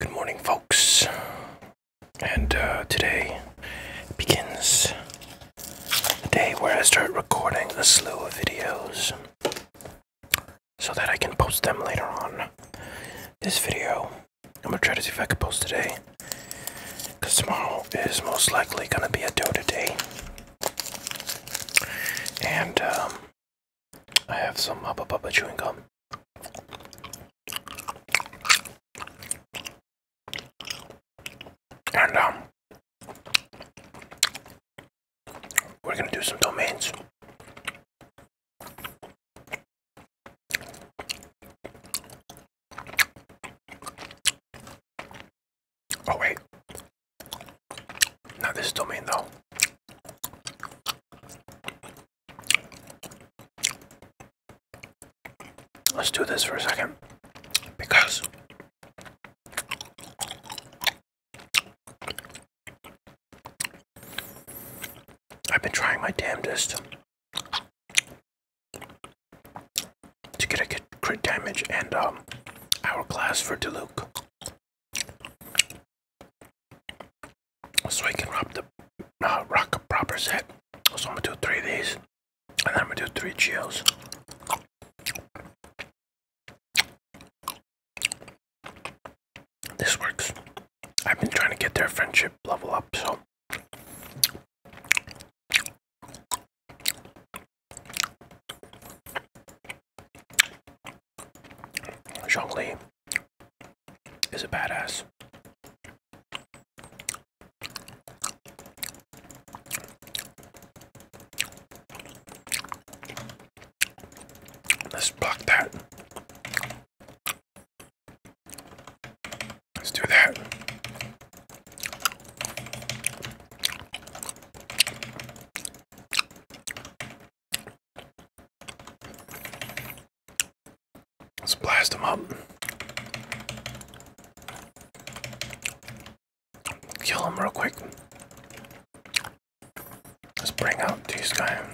Good morning, folks. And uh, today begins the day where I start recording a slew of videos so that I can post them later on. This video, I'm gonna try to see if I can post today because tomorrow is most likely gonna be a do today, And um, I have some Hubba Papa chewing gum. And, um, we're gonna do some domains. Oh, wait. Now, this domain, though. Let's do this for a second because I've been trying my damnedest to get a good crit damage and um, hourglass for Diluc so I can rock the uh, rock a proper set. So I'm gonna do three of these, and then I'm gonna do three Geos. This works. I've been trying to get their friendship level up, so. Zhongli is a badass. Let's block that. Let's do that. Let's blast him up. Kill him real quick. Let's bring out these guys.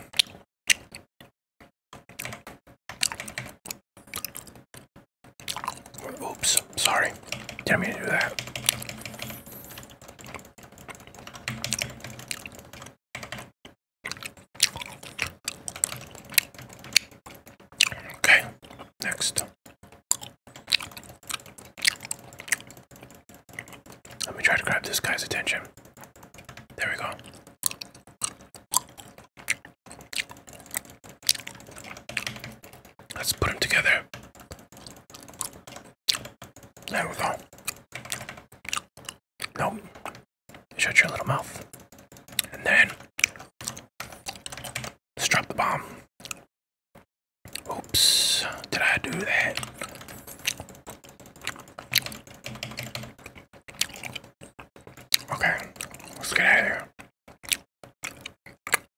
Oops, sorry. Didn't to do that. Okay, next. Let me try to grab this guy's attention. There we go. Let's put them together. There we go. Nope. Shut your little mouth. And then let's drop the bomb. Oops, did I do that? Okay, let's get out of here.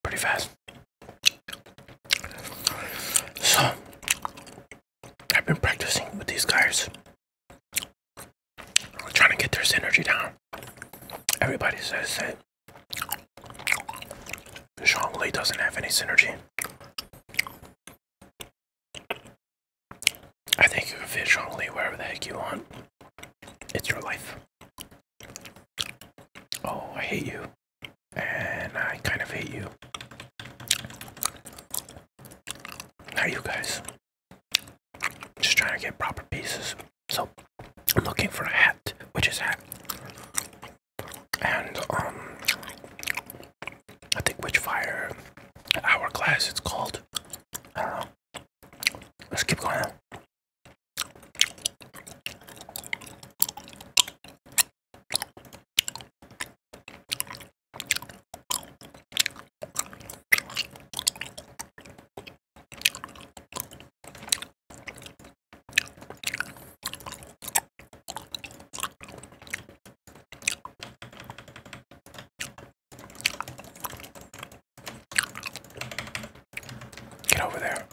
Pretty fast. So I've been practicing with these guys, trying to get their synergy down. Everybody says it. that Lee doesn't have any synergy. I think you can fit Lee wherever the heck you want. It's your life. Oh, I hate you. And I kind of hate you. Now you guys just trying to get proper pieces. So I'm looking for a hat, which is hat. And um I think Witchfire Hourglass it's called. I don't know. Let's keep going. Get over there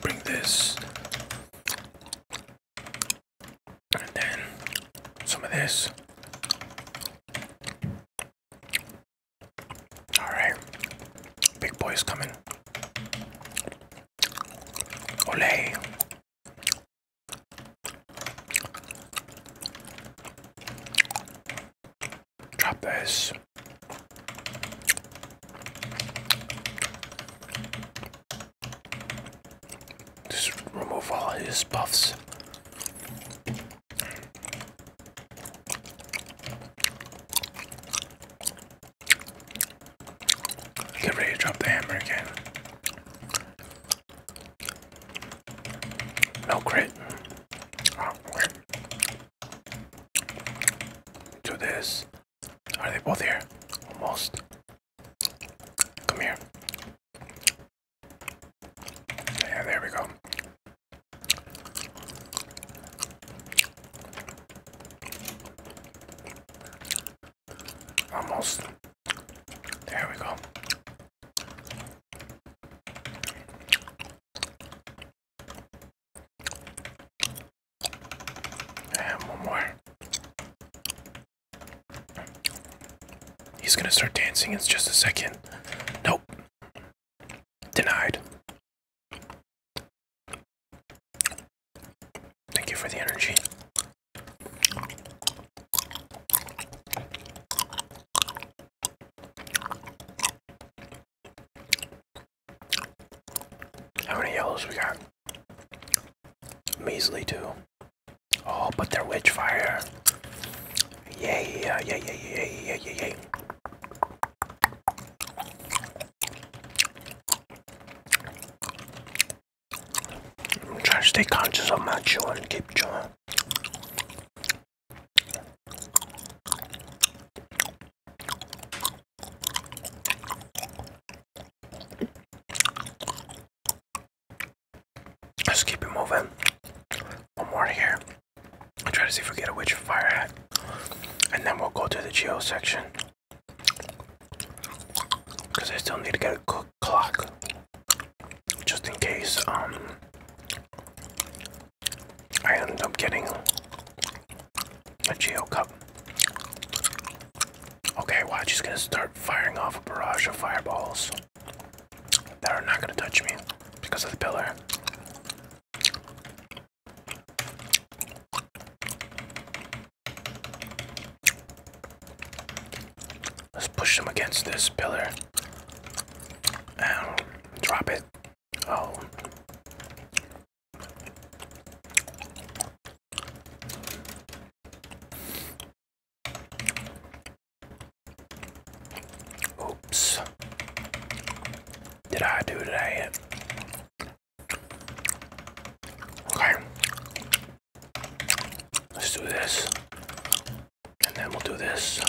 bring this, and then some of this. All right, big boy's coming. Olay. Drop this. Just remove all his buffs. Get ready to drop the hammer again. No crit. Oh, do this. Are they both here? Almost. Come here. Yeah, there we go. Almost. There we go. And one more. He's gonna start dancing in just a second. Nope. Denied. Thank you for the energy. How many yellows we got? Measly too. Oh, but they're witch fire. Yay, yeah, yeah, yeah, yeah, yeah, yeah, yeah. I'm trying to stay conscious of my chewing, keep chewing. Let's keep it moving. One more here. I'll try to see if we get a witch fire hat. And then we'll go to the geo section. Because I still need to get a clock. Just in case um I ended up getting a Geo Cup. Okay, watch, he's gonna start firing off a barrage of fireballs that are not gonna touch me because of the pillar. Let's push them against this pillar and drop it. Oh. Oops. Did I do today? Okay. Let's do this. And then we'll do this.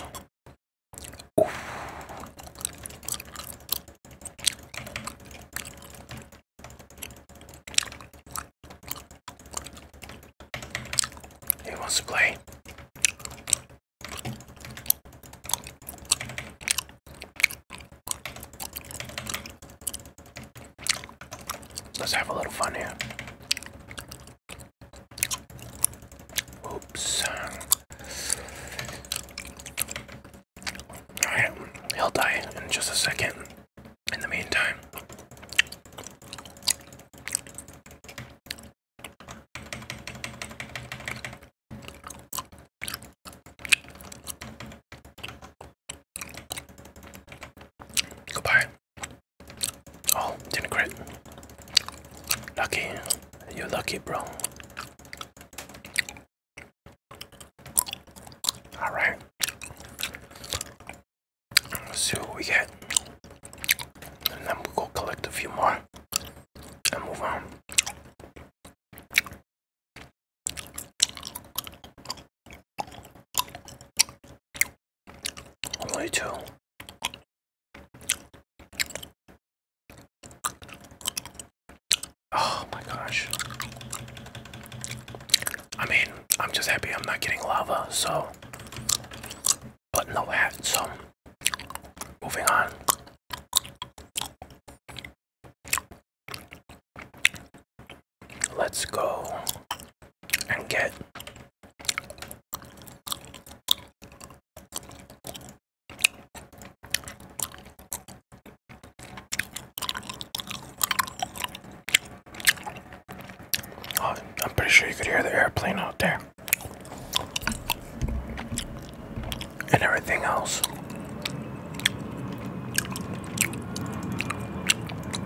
Ooh. Who wants to play? Let's have a little fun here. Oops. Alright, he'll die in just a second. In the meantime, goodbye. Oh, didn't crit. Lucky, you're lucky, bro. All right. Let's see what we get. And then we'll go collect a few more and move on. Only two. Oh my gosh. I mean, I'm just happy I'm not getting lava, so. But no hat, so. Moving on. Let's go and get Oh, I'm pretty sure you could hear the airplane out there and everything else.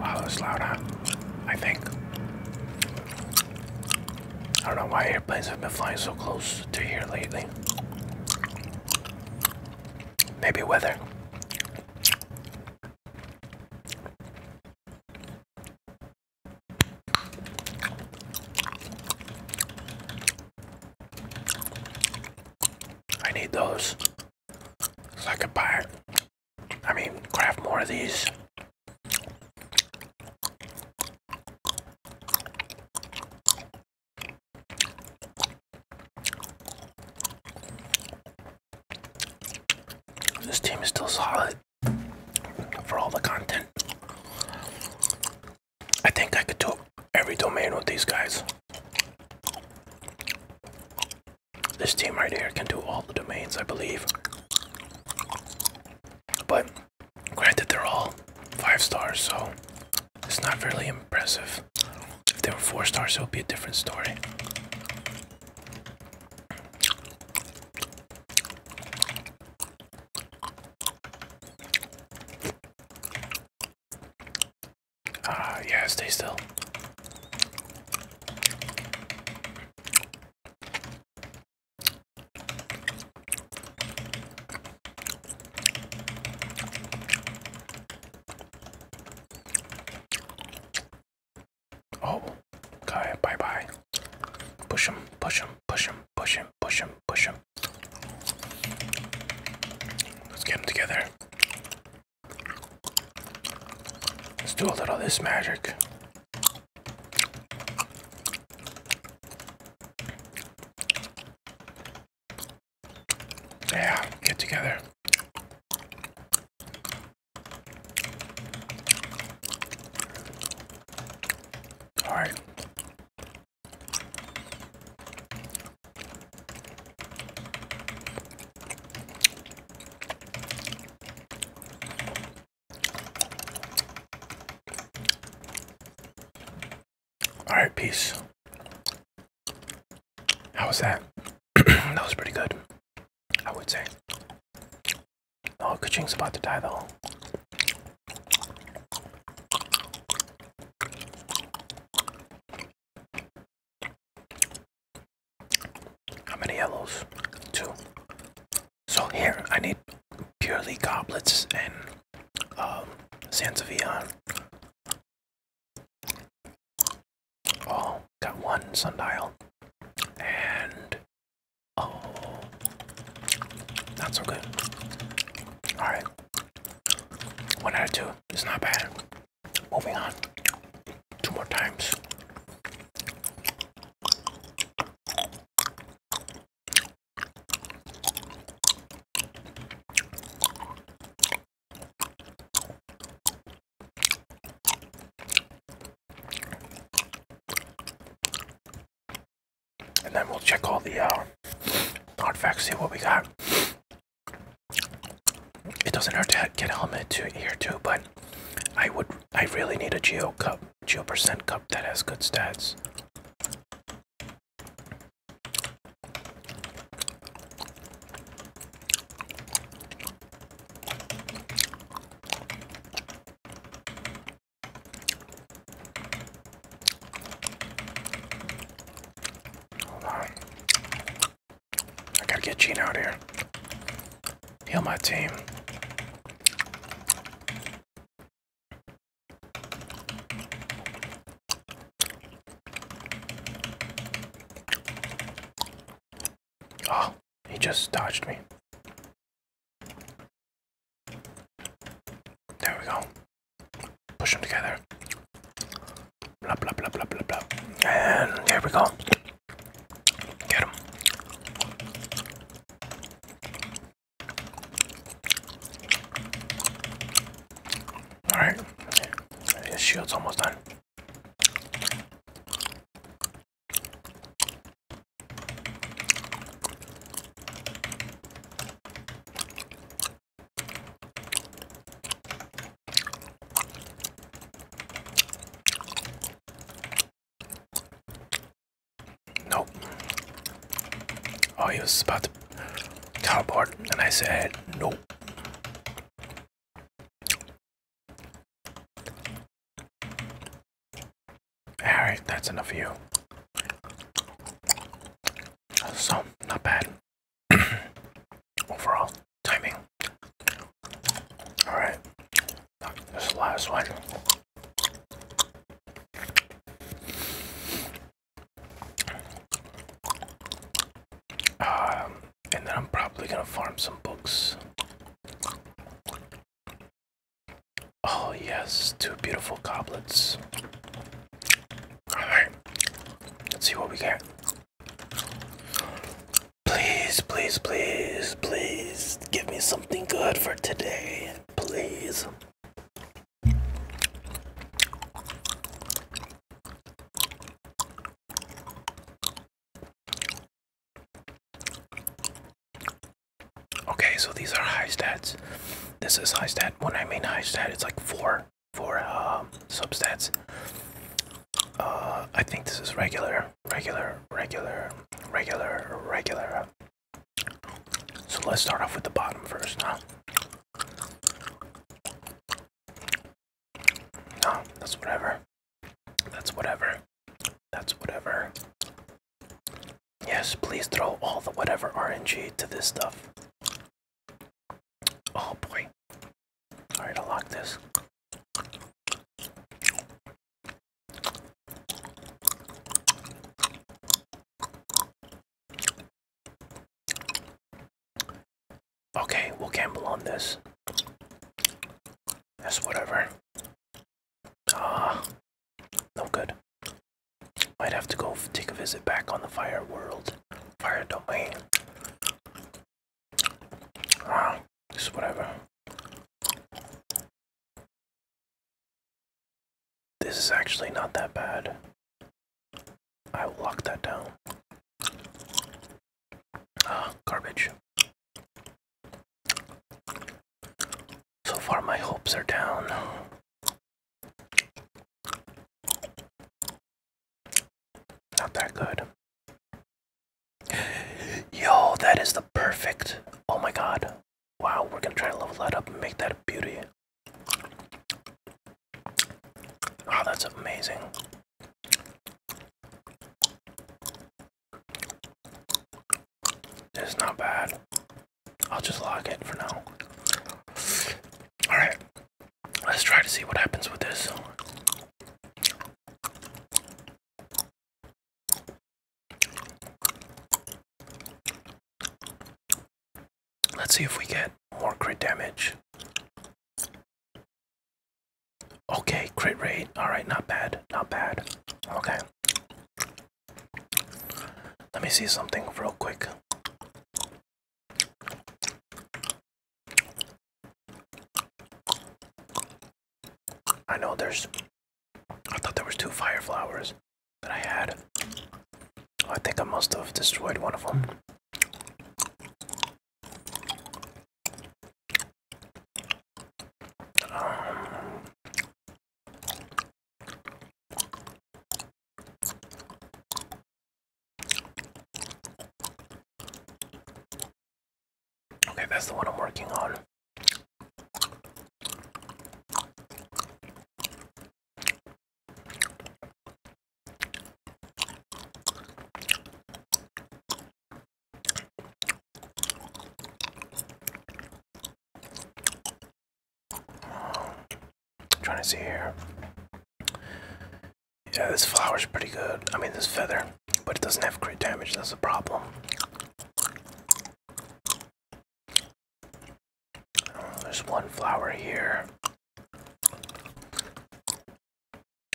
Wow, that's loud, huh? I think. I don't know why airplanes have been flying so close to here lately. Maybe weather. I need those so I could I mean, craft more of these. This team is still solid for all the content. I think I could do every domain with these guys. This team right here can do all the domains, I believe. But Granted, they're all five stars, so it's not really impressive. If they were four stars, it would be a different story. Ah, yeah, stay still. Oh, okay, bye bye. Push him, push him, push him, push him, push him, push him. Let's get him together. Let's do a little this magic. Yeah, get together. All right. All right, peace. How was that? that was pretty good, I would say. Oh, Kaching's about to die though. How many yellows? Two. So here, I need purely goblets and um, Vian. Oh, got one sundial. And oh, not so good. Alright. One out of two. It's not bad. Moving on. Two more times. And then we'll check all the uh, artifacts, see what we got. It doesn't hurt to get a helmet to here too, but I would, I really need a geo cup, geo percent cup that has good stats. I gotta get Gene out here. Heal my team. Oh, he just dodged me. There we go. Push them together. Blah, blah, blah, blah, blah, blah. And there we go. Get him. Alright, his shield's almost done. Nope. Oh, he was about to and I said nope. Alright, that's enough for you. So, not bad. Overall, timing. Alright, this last one. Um, and then I'm probably gonna farm some books. Oh, yes, two beautiful goblets. Alright, let's see what we get. Please, please, please, please give me something good for today. Please. Okay, so these are high stats. This is high stat. When I mean high stat, it's like four, four um, uh, substats. I think this is regular, regular, regular, regular, regular. So let's start off with the bottom first, huh? No, that's whatever. That's whatever. That's whatever. Yes, please throw all the whatever RNG to this stuff. Oh boy. Alright, I'll lock this. Okay, we'll gamble on this. That's whatever. Ah, no good. Might have to go take a visit back on the fire world, fire domain. Ah, is whatever. This is actually not that bad. I will lock that down. Ah, garbage. So far, my hopes are down. Not that good. Yo, that is the perfect. Oh my god. Wow, we're gonna try to level that up and make that a beauty. Wow, that's amazing. It's not bad. I'll just lock it for now. Alright, let's try to see what happens with this. Let's see if we get more crit damage. Okay, crit rate. Alright, not bad. Not bad. Okay. Let me see something real quick. I know there's. I thought there was two fire flowers that I had. I think I must have destroyed one of them. Um, okay, that's the one I'm working on. I'm trying to see here. Yeah, this flower's pretty good. I mean, this feather, but it doesn't have great damage. That's a problem. There's one flower here.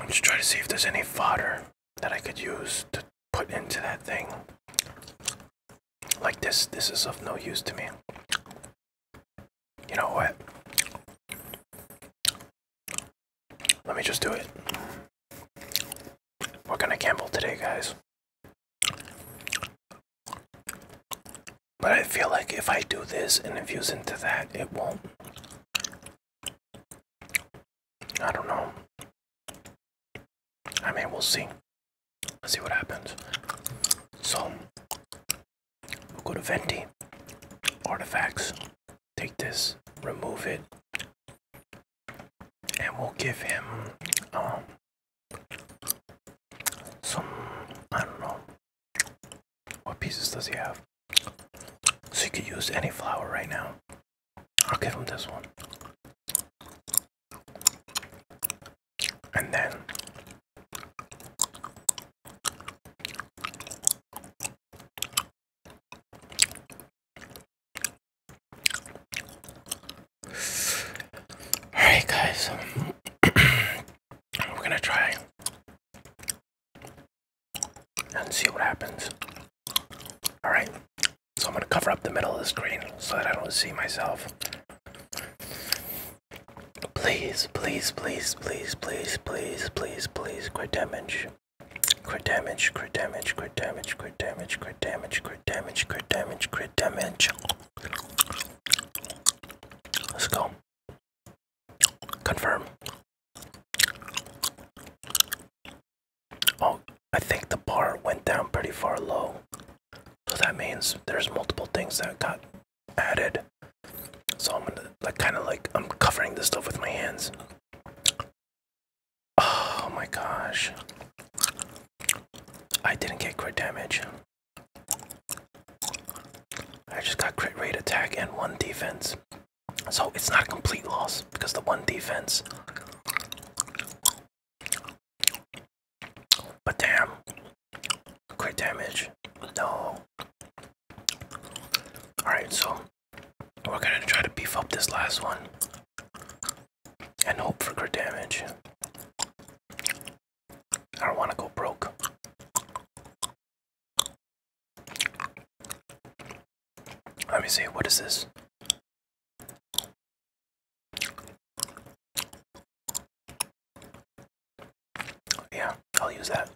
I'm just trying to see if there's any fodder that I could use to put into that thing. Like this, this is of no use to me. You know what? Let me just do it. What are gonna gamble today, guys. But I feel like if I do this and infuse into that, it won't. I don't know. I mean, we'll see. Let's see what happens. So, we'll go to Venti, Artifacts, take this, remove it, and we'll give him um, some I don't know what pieces does he have? So you could use any flower right now. I'll give him this one. And then Alright, guys, um, we're gonna try and see what happens. Alright, so I'm gonna cover up the middle of the screen so that I don't see myself. Please, please, please, please, please, please, please, please, quit damage. Crit damage, crit damage, crit damage, crit damage, crit damage, crit damage, crit damage, crit damage, crit damage. Let's go. Confirm. Oh, I think the bar went down pretty far low. So that means there's multiple things that got added. So I'm gonna like kinda like I'm covering this stuff with my hands. Oh my gosh. I didn't get crit damage. I just got crit rate attack and one defense. So it's not a complete loss because the one defense. But damn. Crit damage. No. Alright, so we're gonna try to beef up this last one. And hope for crit damage. I don't want to go broke. Let me see, what is this? Yeah, I'll use that.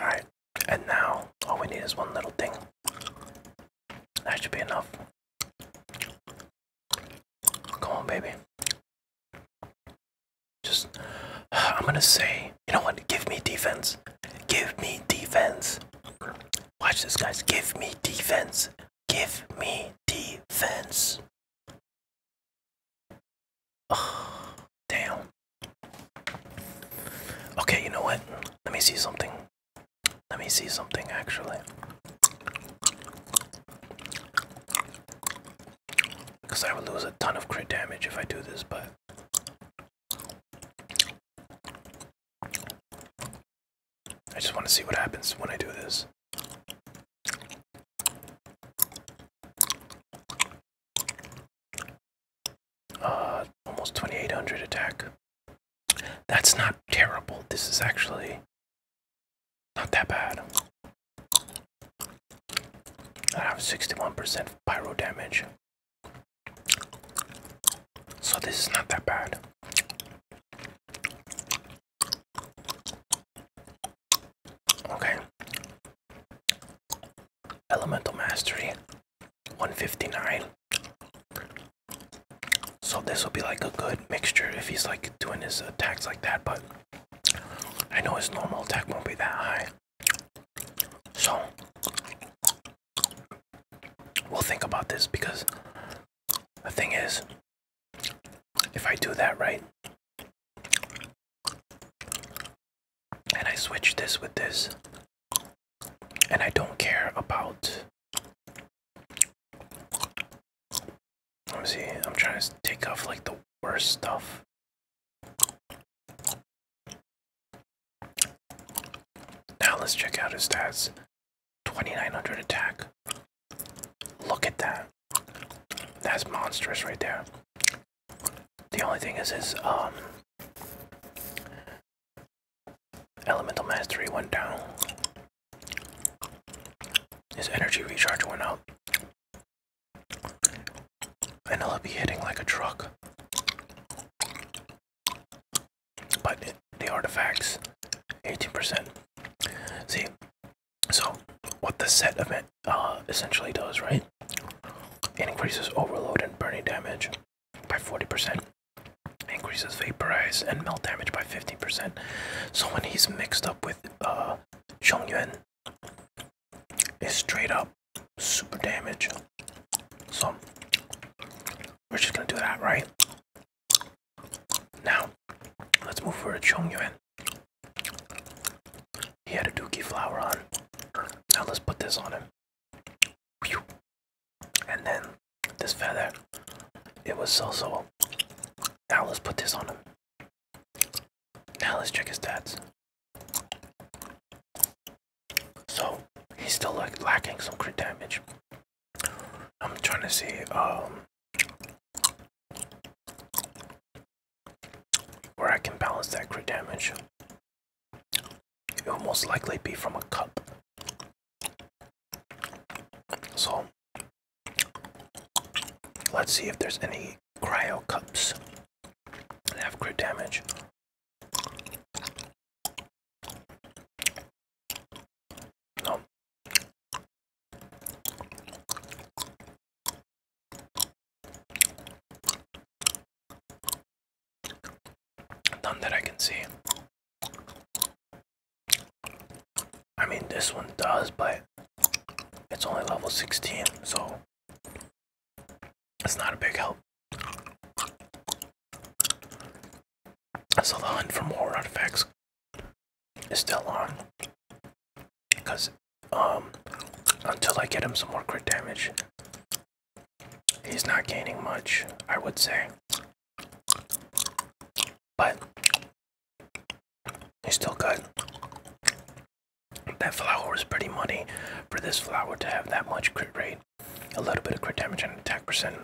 Alright, and now all we need is one little thing. That should be enough. Come on, baby. Just, I'm gonna say, you know what? Give me defense. Give me defense. Watch this, guys. Give me defense. Give me defense. damn. Okay, you know what? Let me see something. Let me see something actually. Because I would lose a ton of crit damage if I do this, but. I just want to see what happens when I do this. Uh, almost 2800 attack. That's not terrible. This is actually not that bad. I have 61% pyro damage. So this is not that bad. Okay. Elemental Mastery 159. So this will be like a good mixture if he's like doing his attacks like that, but I know his normal attack won't be that high. So we'll think about this because the thing is if I do that right and I switch this with this and I don't care about. Let me see. I'm trying to take off like the worst stuff. Now let's check out his stats. 2900 attack. Look at that. That's monstrous right there. The only thing is his um Elemental Mastery went down. His energy recharge went out. And it'll be hitting like a truck. But the artifacts, 18%. See, so what the set event uh, essentially does, right? It increases overload and burning damage by 40%. Increases vaporize and melt damage by 50 percent So when he's mixed up with uh, Chongyuan, it's straight up super damage. So we're just gonna do that, right? Now, let's move over to Chongyuan. He had a dookie flower on. Now let's put this on him. And then this feather, it was so so. Now let's put this on him. Now let's check his stats. So he's still like lacking some crit damage. I'm trying to see um where I can balance that crit damage. It will most likely be from a cup. So let's see if there's any cryo cups that have crit damage. No. None that I can see. I mean, this one does, but it's only level 16, so it's not a big help. So the hunt for more artifacts is still on, because um, until I get him some more crit damage, he's not gaining much, I would say but it's still good. That flower is pretty money for this flower to have that much crit rate, a little bit of crit damage and attack percent.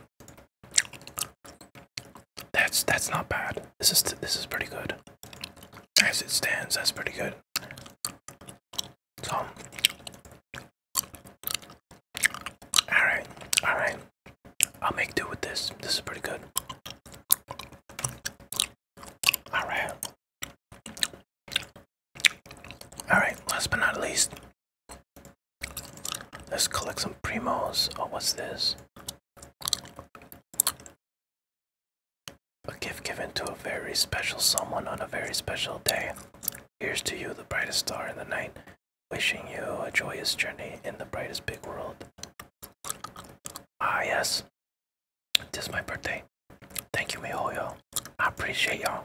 That's that's not bad. This is this is pretty good. As it stands, that's pretty good. So Alright, alright. I'll make do with this. This is pretty good. Alright. Alright, last but not least, let's collect some primos. Oh, what's this? A gift given to a very special someone on a very special day. Here's to you, the brightest star in the night. Wishing you a joyous journey in the brightest big world. Ah, yes. it is my birthday. Thank you, Mihoyo. I appreciate y'all.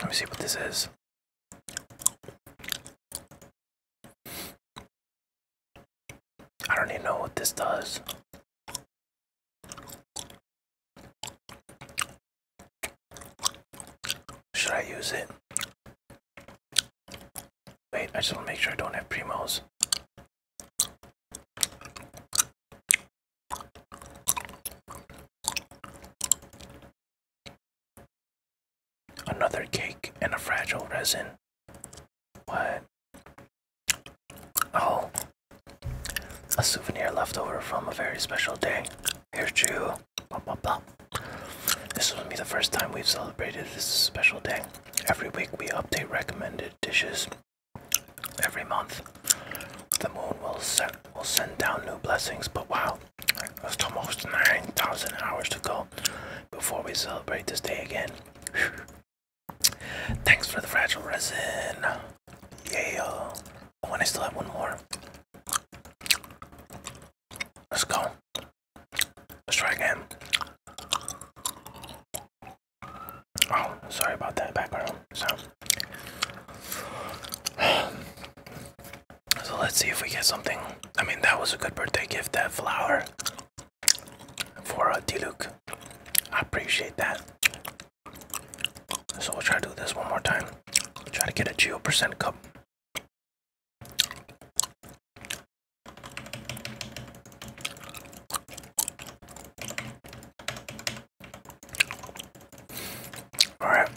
Let me see what this is. I don't even know what this does. Should I use it? Wait, I just want to make sure I don't have primos. Another cake and a fragile resin. What? Oh, a souvenir left over from a very special day. Here's to you. This will be the first time we've celebrated this special day. Every week we update recommended dishes. Every month, the moon will will send down new blessings. But wow, there's almost nine thousand hours to go before we celebrate this day again. Thanks for the fragile resin. Yeah. Oh, and I still have one more. Let's go. Let's try again. Oh, sorry about that background sound. So let's see if we get something. I mean, that was a good birthday gift, that flower for uh, Diluc. I appreciate that. So we'll try to do this one more time. try to get a geo percent cup. All right.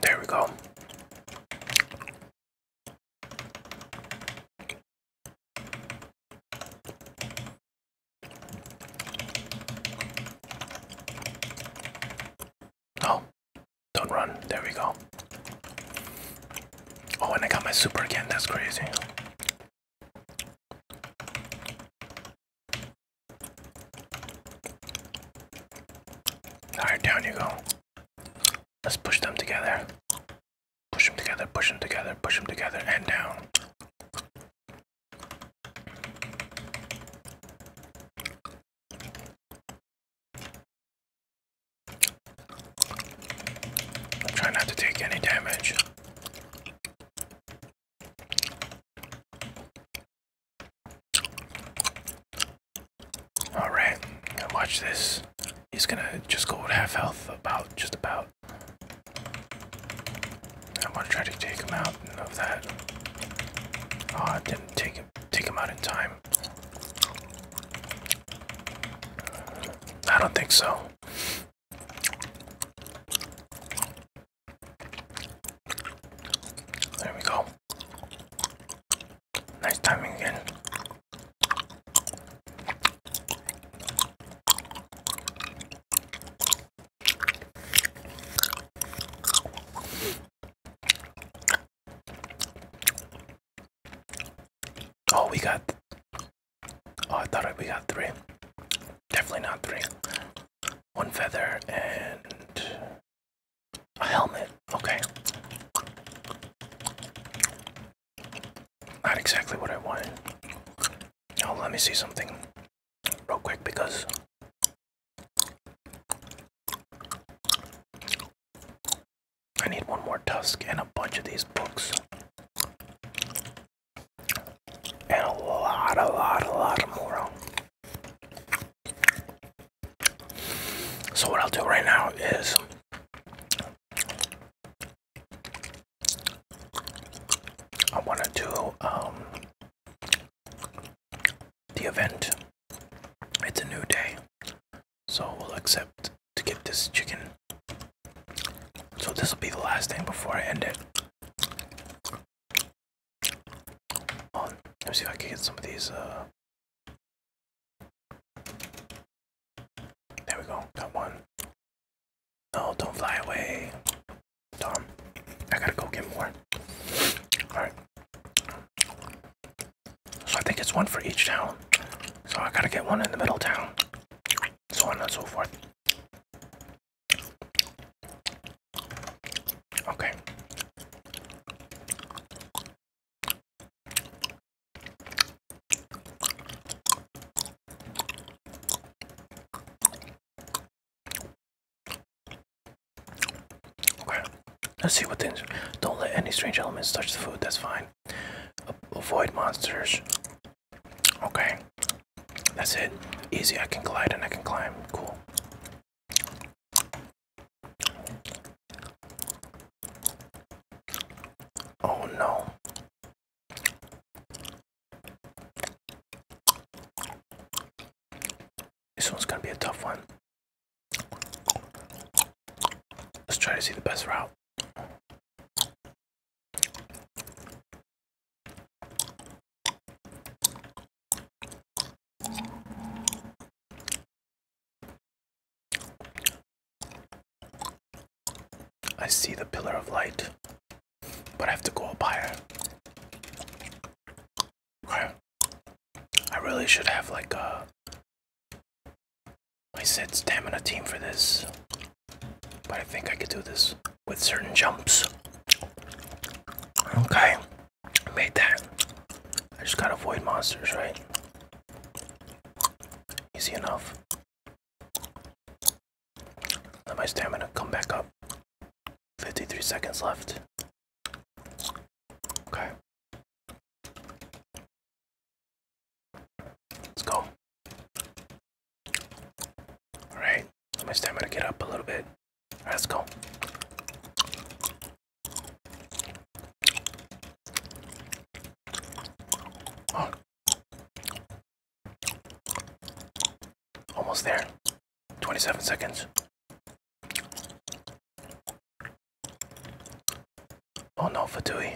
There we go. Oh, don't run. There we go. Oh, and I got my super again. That's crazy. Alright, down you go. Let's push them together. Push them together, push them together, push them together, and down. Try not to take any damage. Alright, now watch this. He's gonna just go with half health, about just about out. I want to try to take him out of that. Ah, oh, didn't take him take him out in time. I don't think so. There we go. Nice timing again. Oh, we got. Oh, I thought we got three. Definitely not three. One feather and a helmet. Okay. Not exactly what I wanted. Oh, let me see something real quick because I need one more tusk and a bunch of these books. And a lot, a lot, a lot more. So what I'll do right now is I want to do um, the event. It's a new day, so we'll accept to get this chicken. So this will be the last thing before I end it. let me see if I can get some of these. Uh, there we go. Got one. No, don't fly away. Tom, I gotta go get more. Alright. So I think it's one for each town. So I gotta get one in the middle town. So on and so forth. Okay. Okay, let's see what things. Don't let any strange elements touch the food, that's fine. Avoid monsters. Okay, that's it. Easy, I can glide and I can climb. Cool. Oh no. This one's gonna be a tough one. Let's try to see the best route. I see the pillar of light, but I have to go up higher. I really should have like a. I said stamina team for this, but I think I could do this with certain jumps. Okay, made that. I just gotta avoid monsters, right? Easy enough. Let my stamina come back up. 53 seconds left. Okay. Let's go. Alright, let my stamina get up a little bit. let's go. Oh. Almost there. 27 seconds. Oh no, Fatui.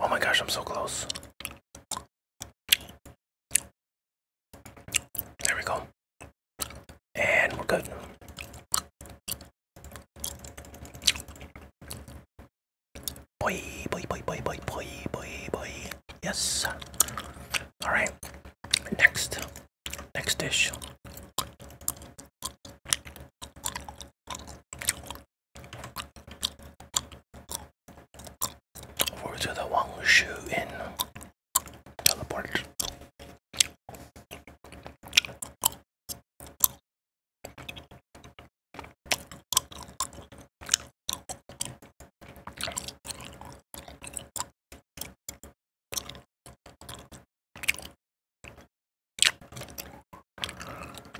Oh my gosh, I'm so close. There we go. And we're good. Boy, boy, boy, boy, boy, boy, boy, boy. Yes. All right. Next, next dish. Over to the Wangshu Inn. Teleport.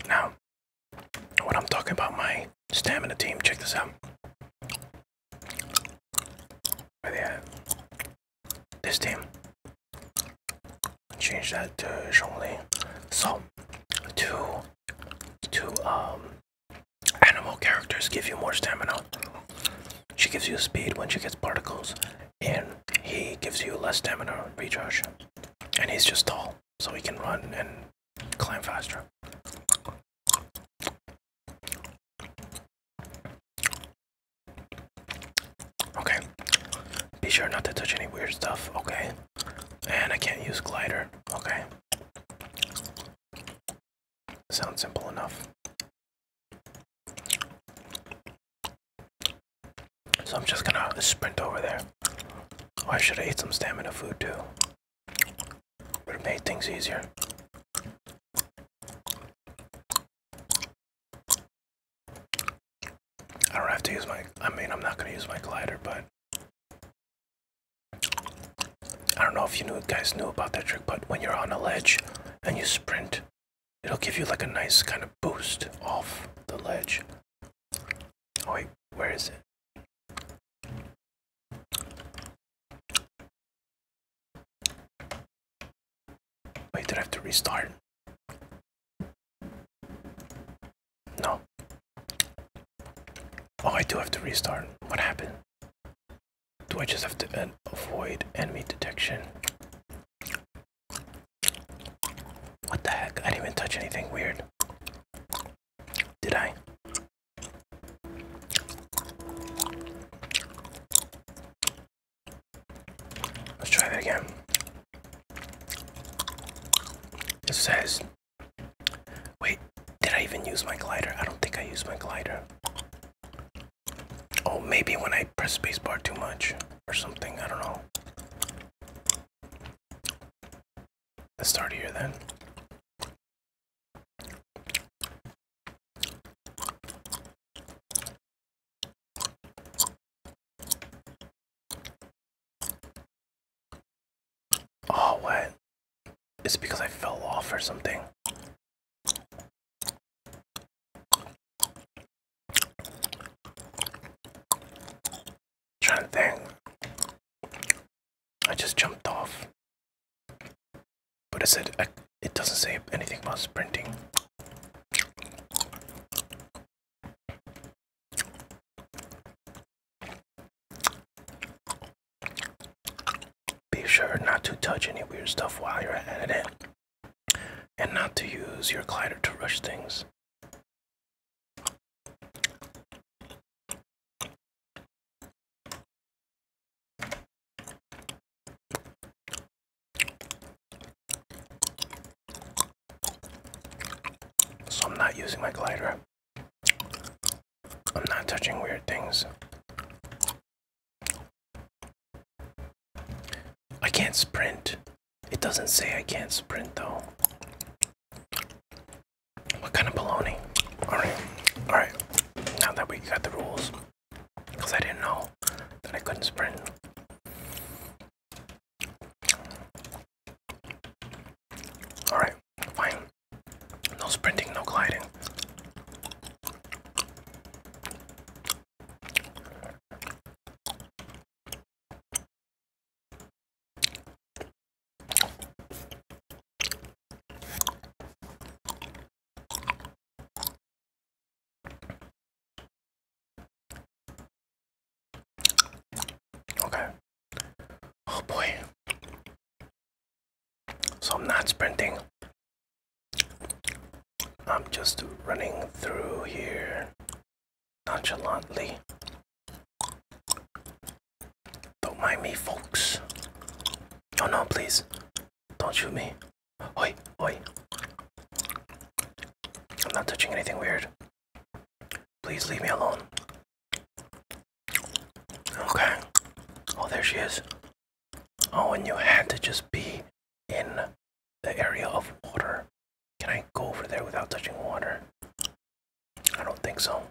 Now, when I'm talking about my stamina team, check this out. Where this team. Change that to Zhongli. So, two, two um, animal characters give you more stamina. She gives you speed when she gets particles, and he gives you less stamina recharge. And he's just tall, so he can run and climb faster. Okay. Be sure not to touch any weird stuff, okay? And I can't use glider, okay? Sounds simple enough. So I'm just gonna sprint over there. Oh, I should have ate some stamina food too. Would have made things easier. I don't have to use my. I mean, I'm not gonna use my glider, but I don't know if you guys knew about that trick. But when you're on a ledge and you sprint, it'll give you like a nice kind of boost off the ledge. Oh wait, where is it? I do have to restart? No. Oh, I do have to restart. What happened? Do I just have to uh, avoid enemy detection? What the heck? I didn't even touch anything weird. Did I? Let's try that again. It says, wait, did I even use my glider? I don't think I used my glider. Oh, maybe when I press spacebar too much or something. I don't know. Let's start here then. Oh, what? It's because I fell off or something. i trying to I just jumped off. But it said, it doesn't say anything about sprinting. Be sure not to touch any weird stuff while you're at it, and not to use your glider to rush things. So I'm not using my glider. I'm not touching weird things. I can't sprint. It doesn't say I can't sprint though. What kind of baloney? Alright, alright. Now that we got the rules, because I didn't know that I couldn't sprint. Alright, fine. No sprinting, no gliding. Okay. Oh boy. So I'm not sprinting. I'm just running through here nonchalantly. Don't mind me, folks. Oh no, please. Don't shoot me. Oi, oi. I'm not touching anything weird. Please leave me alone. Okay. Oh, there she is. Oh, and you had to just be in the area of water. Can I go over there without touching water? I don't think so.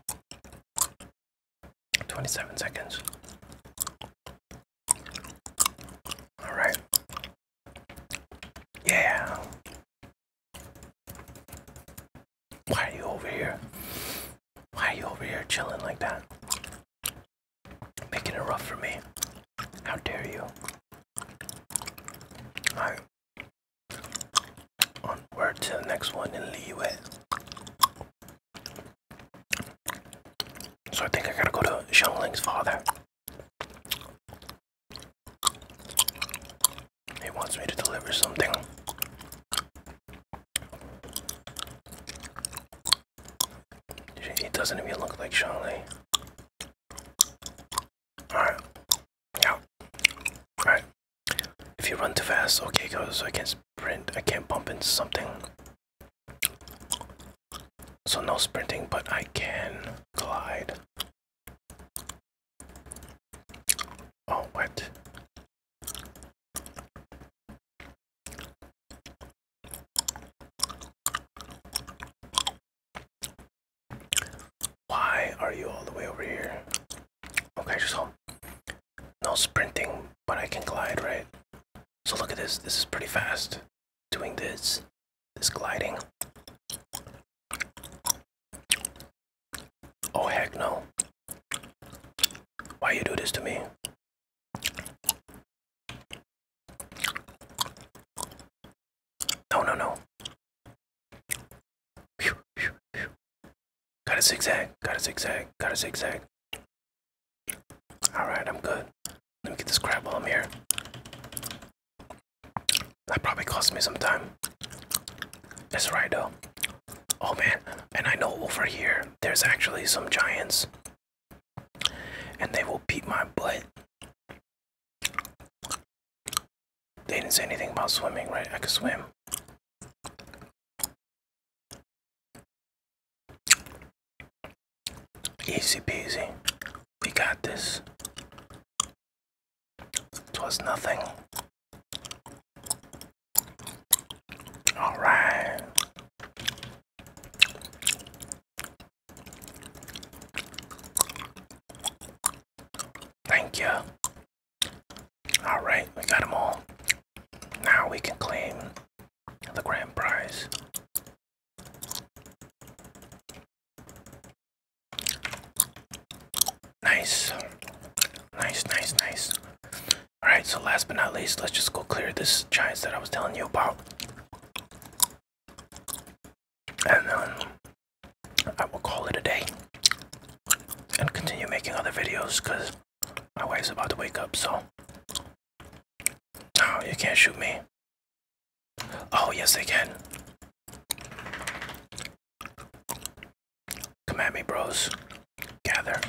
27 seconds. Alright. Yeah. Why are you over here? Why are you over here chilling like that? Making it rough for me. How dare you? Alright. Onward to the next one and leave So I think I gotta go to Xiangling's father. He wants me to deliver something. He doesn't even look like Charlie. Alright. Yeah. Alright. If you run too fast, okay goes. So I can't sprint. I can't bump into something. So no sprinting, but I can glide. Oh, what? Why are you all the way over here? Okay, just hold. no sprinting, but I can glide, right? So look at this. This is pretty fast doing this this gliding oh heck no why you do this to me no no no Gotta zigzag, gotta zigzag, gotta zigzag. Alright, I'm good. Let me get this crab while I'm here. That probably cost me some time. That's right though. Oh man, and I know over here there's actually some giants. And they will beat my butt. They didn't say anything about swimming, right? I could swim. Easy peasy. We got this. It was nothing. All right. Thank you. All right, we got them all. Now we can claim the grand prize. Nice. Nice, nice, nice. Alright, so last but not least, let's just go clear this giant that I was telling you about. And then I will call it a day. And continue making other videos because my wife's about to wake up, so. No, you can't shoot me. Oh, yes, they can. Come at me, bros. Gather.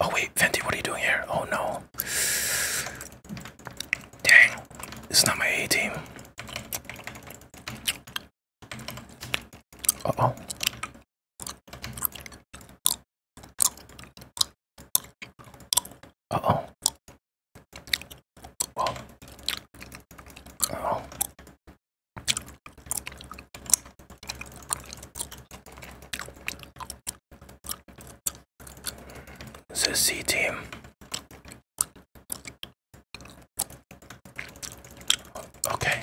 Oh, wait, Fenty, what are you doing here? Oh, no. Dang, this not my A team. oh. Uh oh. Whoa. Uh oh. It's a C team. Okay,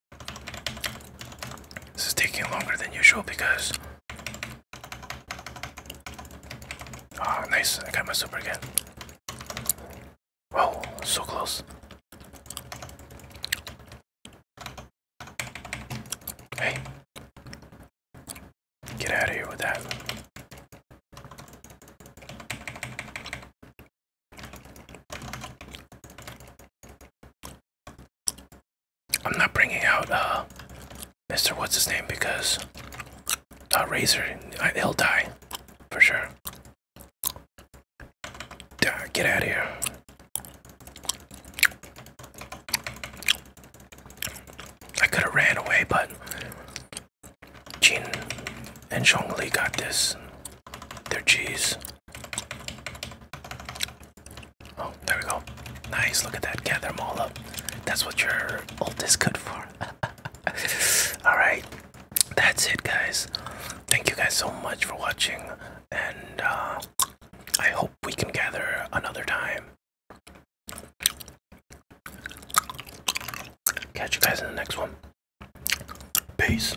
This is taking longer than usual because. Ah, nice. I got my super again. Oh, so close. Hey. Get out of here with that. I'm not bringing out uh, Mr. What's his name because uh, Razor, he'll die for sure. get out of here. I could have ran away, but Jin and Zhongli got this. Their cheese. Oh, there we go. Nice, look at that. Gather them all up. That's what your ult is good for. Alright, that's it, guys. Thank you guys so much for watching, and uh, I hope we can gather another time. Catch you guys in the next one. Peace.